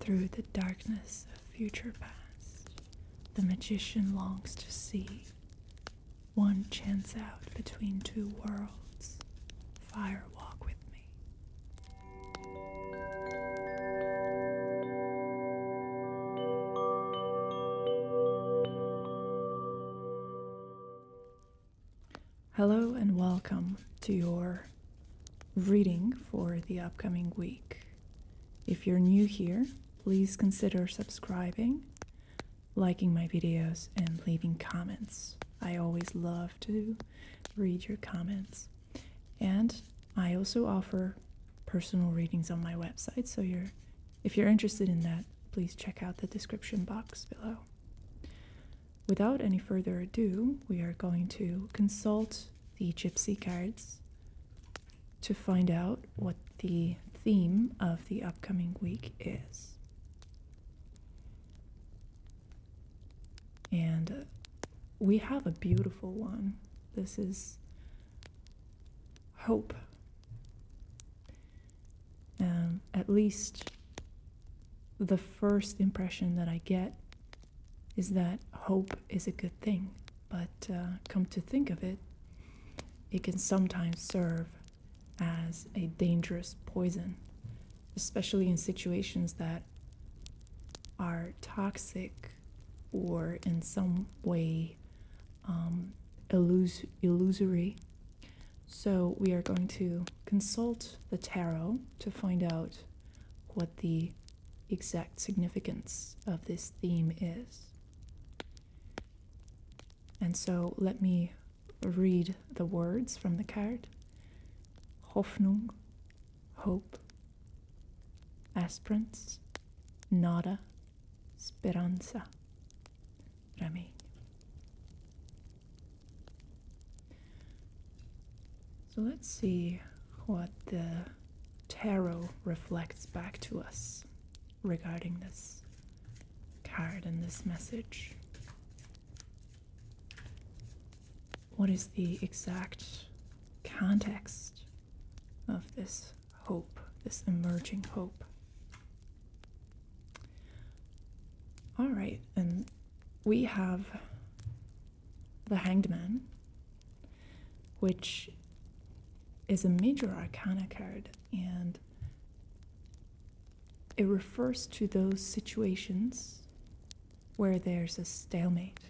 Through the darkness of future past, the magician longs to see one chance out between two worlds. Fire walk with me. Hello and welcome to your reading for the upcoming week. If you're new here, please consider subscribing, liking my videos, and leaving comments. I always love to read your comments. And I also offer personal readings on my website, so if you're interested in that, please check out the description box below. Without any further ado, we are going to consult the gypsy cards to find out what the theme of the upcoming week is. And uh, we have a beautiful one. This is hope. Um, at least the first impression that I get is that hope is a good thing, but uh, come to think of it, it can sometimes serve as a dangerous poison, especially in situations that are toxic or in some way um, illus- illusory so we are going to consult the tarot to find out what the exact significance of this theme is. And so let me read the words from the card Hoffnung, hope, aspirants, nada, speranza remény. So let's see what the tarot reflects back to us regarding this card and this message. What is the exact context of this hope, this emerging hope? All right, and we have the Hanged Man, which is a major arcana card, and it refers to those situations where there's a stalemate,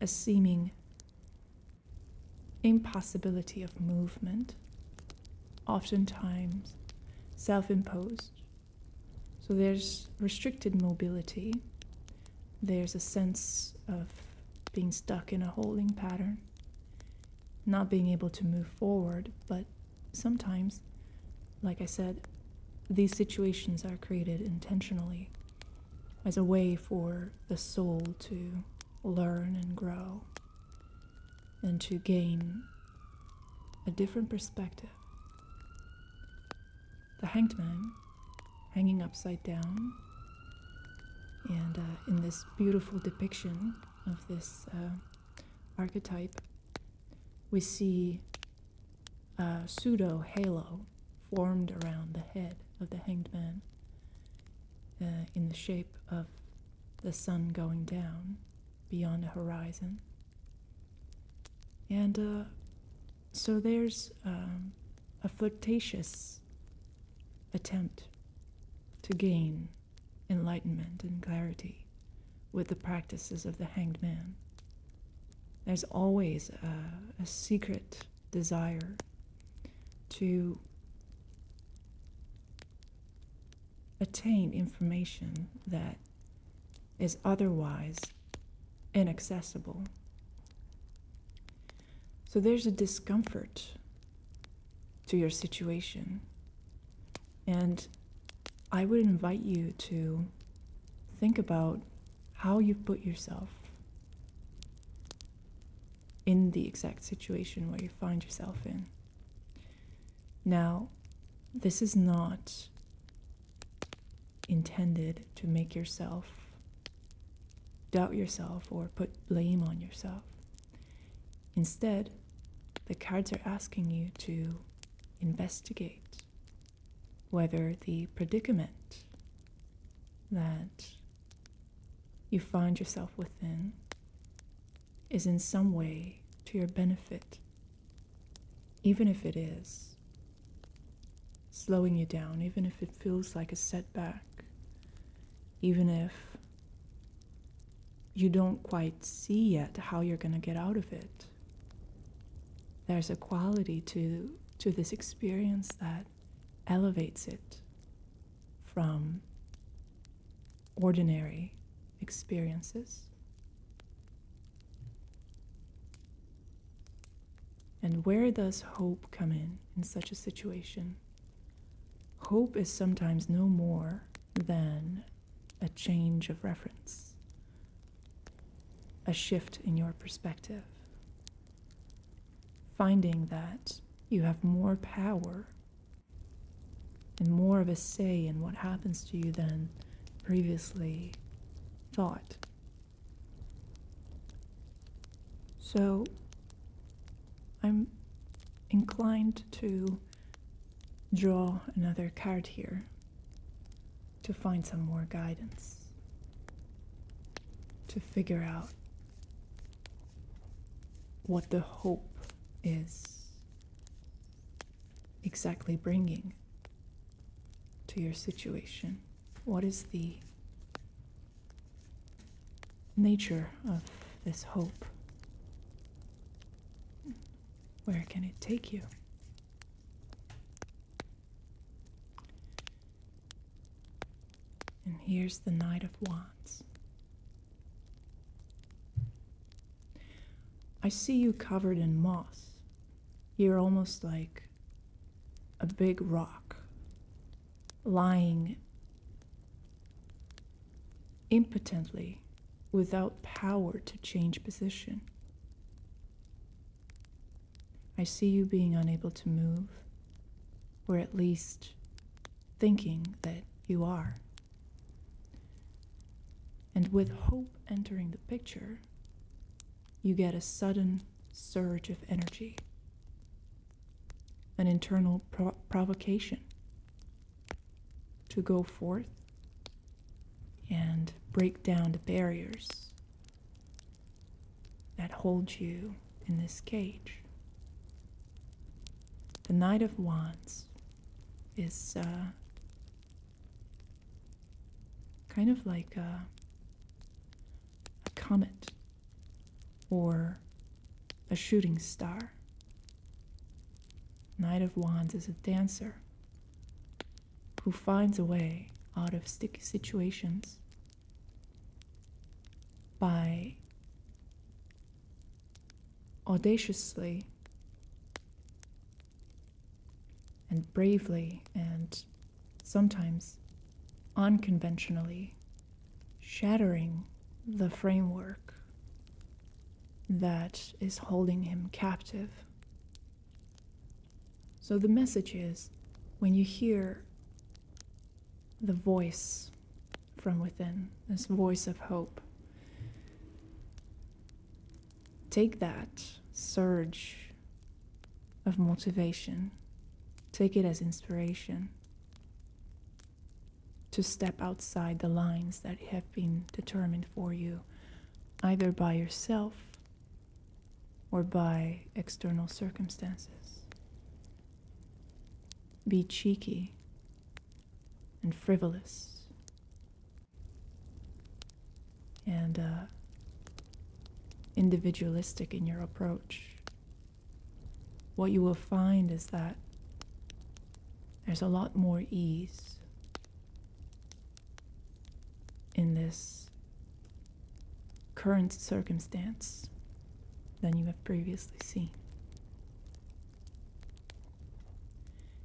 a seeming impossibility of movement, oftentimes self imposed. So there's restricted mobility, there's a sense of being stuck in a holding pattern, not being able to move forward, but sometimes, like I said, these situations are created intentionally as a way for the soul to learn and grow and to gain a different perspective. The hanged man hanging upside down, and uh, in this beautiful depiction of this uh, archetype, we see a pseudo halo formed around the head of the hanged man uh, in the shape of the sun going down beyond the horizon. And uh, so there's um, a flirtatious attempt to gain enlightenment and clarity with the practices of the hanged man. There's always a secret desire to attain information that is otherwise inaccessible. So there's a discomfort to your situation. And I would invite you to think about how you've put yourself in the exact situation where you find yourself in. Now, this is not intended to make yourself doubt yourself or put blame on yourself. Instead, the cards are asking you to investigate whether the predicament that you find yourself within is in some way to your benefit, even if it is slowing you down, even if it feels like a setback, even if you don't quite see yet how you're going to get out of it. There's a quality to, to this experience that elevates it from ordinary experiences. And where does hope come in in such a situation? Hope is sometimes no more than a change of reference, a shift in your perspective, finding that you have more power and more of a say in what happens to you than previously thought. So I'm inclined to draw another card here to find some more guidance to figure out what the hope is exactly bringing to your situation. What is the nature of this hope? Where can it take you? And here's the night of Wands. I see you covered in moss. You're almost like a big rock lying impotently without power to change position. I see you being unable to move, or at least thinking that you are. And with hope entering the picture, you get a sudden surge of energy, an internal provocation to go forth and break down the barriers that holds you in this cage. The Knight of Wands is uh, kind of like a comet or a shooting star. Knight of Wands is a dancer who finds a way out of sticky situations by audaciously and bravely and sometimes unconventionally shattering the framework that is holding him captive so the message is when you hear the voice from within, this voice of hope, take that surge of motivation, take it as inspiration to step outside the lines that have been determined for you, either by yourself or by external circumstances. Be cheeky and frivolous and uh, individualistic in your approach. What you will find is that there's a lot more ease in this current circumstance than you have previously seen.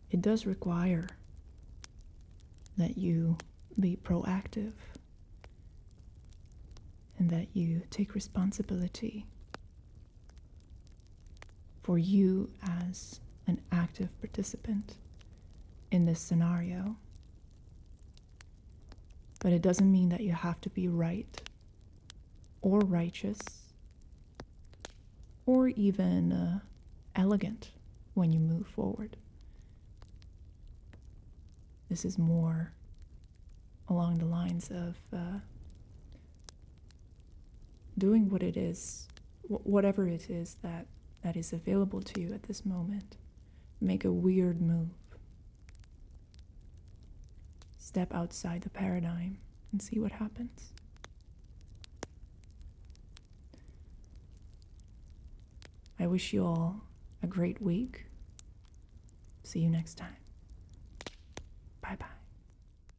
It does require that you be proactive and that you take responsibility for you as an active participant in this scenario. But it doesn't mean that you have to be right or righteous or even uh, elegant when you move forward. This is more along the lines of uh, doing what it is, whatever it is that, that is available to you at this moment. Make a weird move. Step outside the paradigm and see what happens. I wish you all a great week. See you next time. Bye bye.